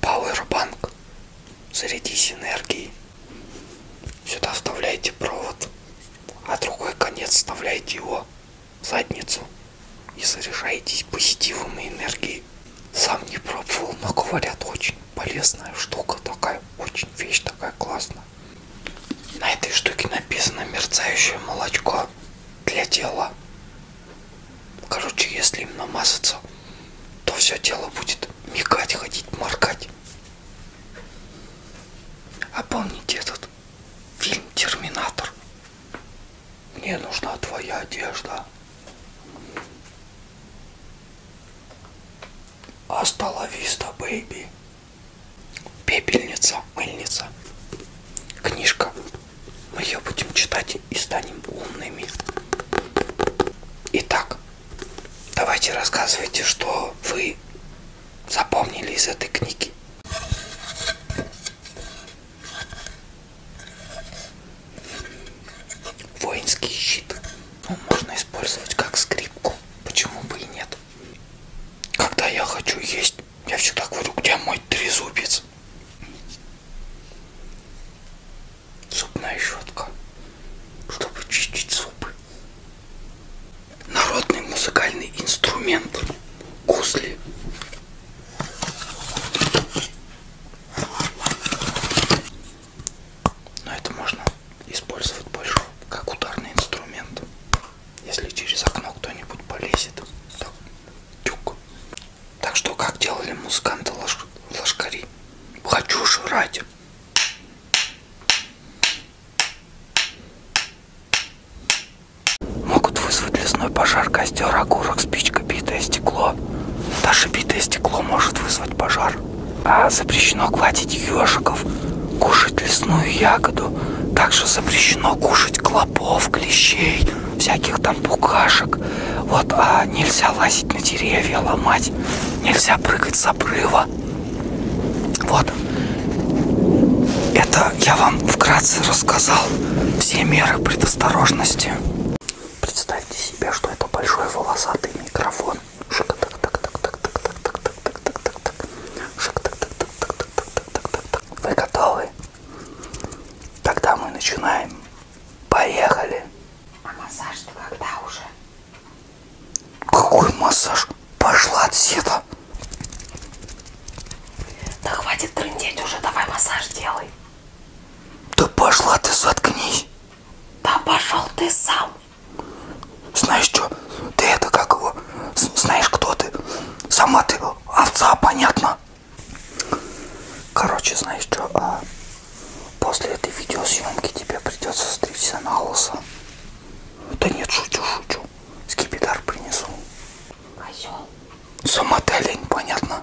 Powerbank. Зарядись энергией. Сюда вставляете провод, а другой конец вставляете его в задницу и заряжаетесь позитивом и энергией. Сам не пробовал, но говорят, очень полезная штука такая, очень вещь такая классная. На этой штуке написано мерцающее молочко масса для тела. Короче, если им намазаться, то все тело будет мигать, ходить, моргать. А помните этот фильм «Терминатор»? Мне нужна твоя одежда. Асталависта, бейби. Пепельница, мыльница. Книжка. Мы ее будем читать и станем умными. Итак, давайте рассказывайте, что вы запомнили из этой книги. Воинский щит. Он ну, можно использовать как скрипку. Почему бы и нет? Когда я хочу есть, я всегда говорю, где мой трезубец? Зубная щетка, чтобы чистить зубы. Народный музыкальный инструмент. Гусли. Но это можно использовать больше как ударный инструмент если через окно кто-нибудь полезет. Так, тюк. так что как делали музыканты лош... лошкари? Хочу жрать. Могут вызвать лесной пожар, костер, окурок, спичка, битое стекло. Даже битое стекло может вызвать пожар. А запрещено гладить ежиков, кушать лесную ягоду. Также запрещено кушать клопов, клещей, всяких там букашек. Вот, а нельзя лазить на деревья, ломать. Нельзя прыгать с обрыва. Вот. Это я вам вкратце рассказал все меры предосторожности. Представьте себе, что это большой волосатый микрофон. так так так так так так так вы готовы? Тогда мы начинаем. Поехали. А массаж-то когда уже? Какой массаж? Пошла отсюда. Да хватит трындеть уже, давай массаж делай. Да пошла ты, заткнись. Да пошел ты сам. Знаешь что? Ты это как его? Знаешь, кто ты? Сама ты овца, понятно? Короче, знаешь что? А после этой видеосъемки тебе придется стричься на лысо. Да нет, шучу, шучу. Скипидар принесу. Козел. А Сама ты олень, понятно?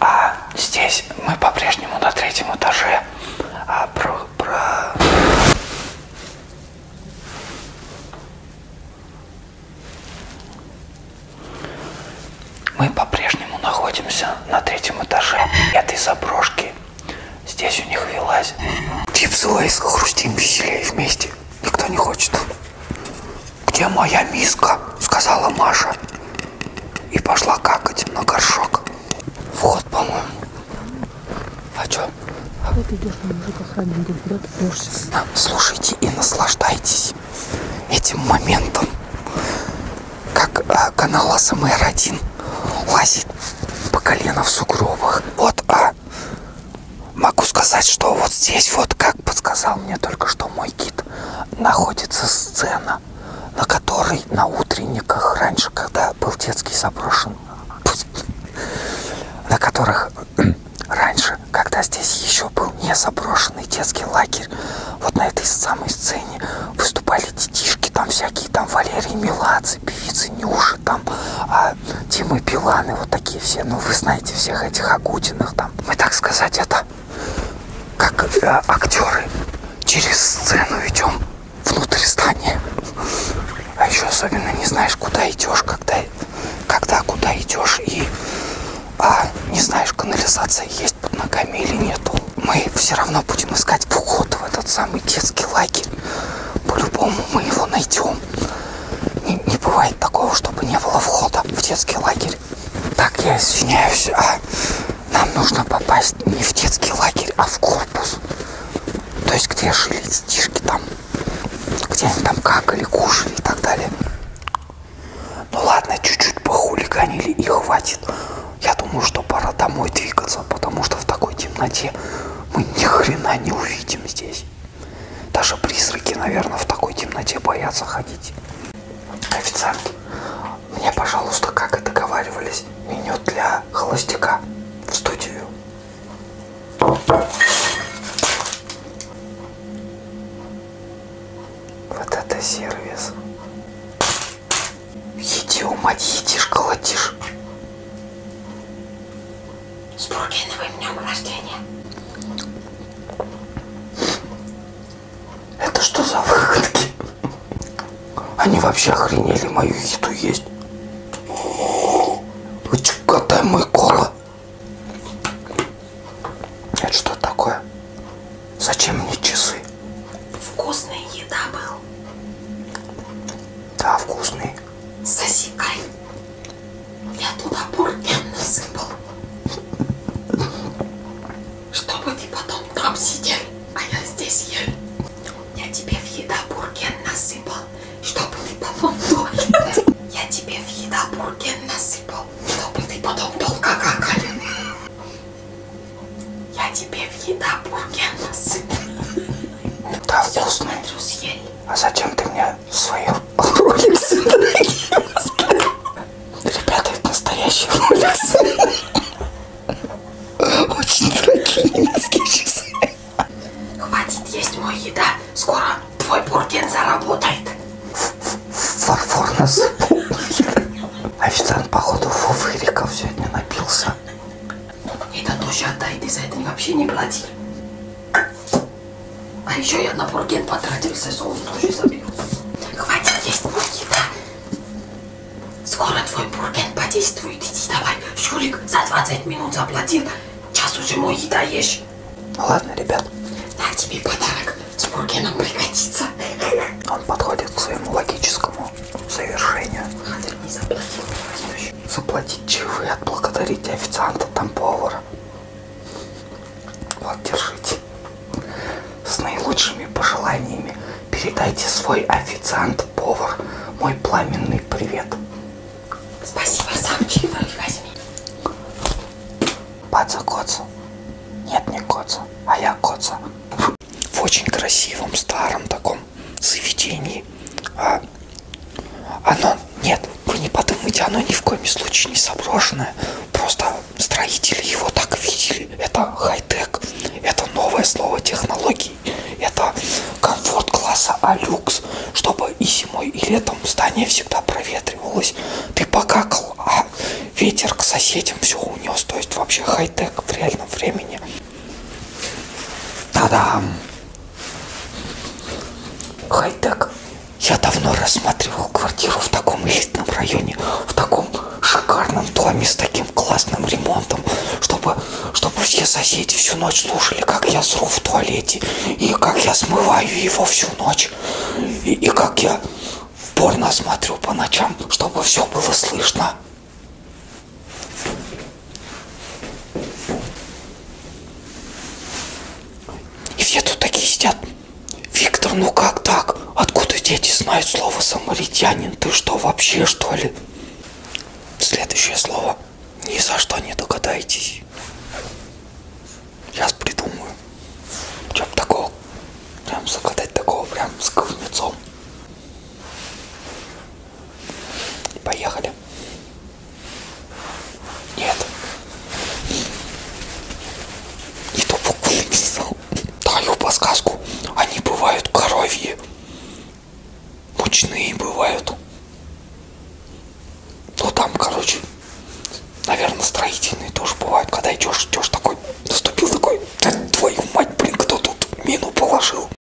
А здесь мы по-прежнему на третьем этаже. А про, про... Мы по-прежнему находимся на третьем этаже этой заброшки. Здесь у них велась. Чипсы лейс хрустим веселее вместе. Никто не хочет. «Где моя миска?» — сказала Маша. И пошла какать на горшок. Вход, по-моему. А что? Вот идешь на мужика храним, куда ты прешься? Слушайте и наслаждайтесь этим моментом. Как а, канал СМР-1 лазит по колено в сугробах. Вот, а, могу сказать, что вот здесь, вот как подсказал мне только что мой Кит находится сцена, на которой на утренниках раньше, когда был детский заброшен, на которых раньше, когда здесь еще был не заброшенный детский лагерь, вот на этой самой сцене выступали детишки, там всякие, там Валерий Меладзе, певицы Нюши, там а, Тимы Биланы, вот такие все, ну вы знаете всех этих Агутиных там. Мы, так сказать, это как э, актеры, через сцену идем внутрь здания. А еще особенно не знаешь, куда идешь, когда, когда куда идешь и а, не знаешь, канализация есть под ногами или нету. Мы все равно будем искать вход в этот самый детский лагерь. По-любому мы его найдем. Не, не бывает такого, чтобы не было входа в детский лагерь лагерь. Так, я извиняюсь, а нам нужно попасть не в детский лагерь, а в корпус. То есть, где жили детишки там, где они там какали, кушали и так далее. Ну ладно, чуть-чуть похулиганили и хватит. Я думаю, что пора домой двигаться, потому что в такой темноте мы ни хрена не увидим здесь. Даже призраки, наверное, в такой темноте боятся ходить. Официант, мне, пожалуйста, как и договаривались, меню для холостяка в студию. Вот это сервис. Еди, умать, едишь, колотишь. С Буркиновым днем рождения. Это что за выходки? Они вообще охренели мою еду есть. Вы чекотай мой кола. Это что такое? Зачем мне часы? Вкусная еда был. Да, вкусный. Соси камень. Я туда бурген насыпал. Чтобы ты потом там сидел, а я здесь ел. Я тебе в еда бурген насыпал, чтобы ты потом долго... Я тебе в еда бурген насыпал, чтобы ты потом долго какал. Я тебе в еда бурген насыпал. Да, вкусно. Смотрю, съели. А зачем ты мне я свою роликсы, Ребята, это настоящие роликсы. Очень дорогие немецкие часы. Хватит есть мою еда. Скоро твой бурген заработает. Фарфор нас Официант, походу, Фуфыриков сегодня напился. Это тоже отдай, ты за это вообще не плати. А еще я на бурген потратился, соус тоже забил. Хватит есть бургена. Скоро твой бурген подействует. Иди давай, Шурик, за 20 минут заплатил. Час уже мой еда ешь. Ладно, ребят. На тебе подарок. С бургеном пригодится. Он подходит к своему логическому завершению. Хатер не заплатил помочь, заплатить чаевые, отблагодарить официанта, там повара. Вот, держите. С наилучшими пожеланиями передайте свой официант-повар мой пламенный привет. Спасибо, сам чаевые возьми. Паца Коца. Нет, не Коца, а я Коца. В очень красивом, старом таком заведении. А оно, нет, вы не подумайте, оно ни в коем случае не заброшенное. Просто строители его так видели. Это хай-тек, это новое слово технологий, это комфорт класса Алюкс, чтобы и зимой, и летом здание всегда проветривалось. Ты покакал, а ветер к соседям все унес. То есть вообще хай-тек в реальном времени. Та-дам! Хай-так. Я давно рассматривал квартиру в таком элитном районе, в таком шикарном доме с таким классным ремонтом, чтобы, чтобы все соседи всю ночь слушали, как я сру в туалете, и как я смываю его всю ночь, и, и как я порно смотрю по ночам, чтобы все было слышно. И все тут такие сидят. Виктор, ну как так? Откуда дети знают слово самаритянин? Ты что, вообще что ли? Следующее слово. Ни за что не догадаетесь. Сейчас придумаю. Чем такого? Прям загадать такого, прям с ковнецом. Поехали. Нет. Не ту букву написал. Даю подсказку. Они бывают коровьи. Мучные бывают. Ну там, короче, наверное, строительные тоже бывают. Когда идешь, идешь такой, наступил такой, да твою мать, блин, кто тут мину положил?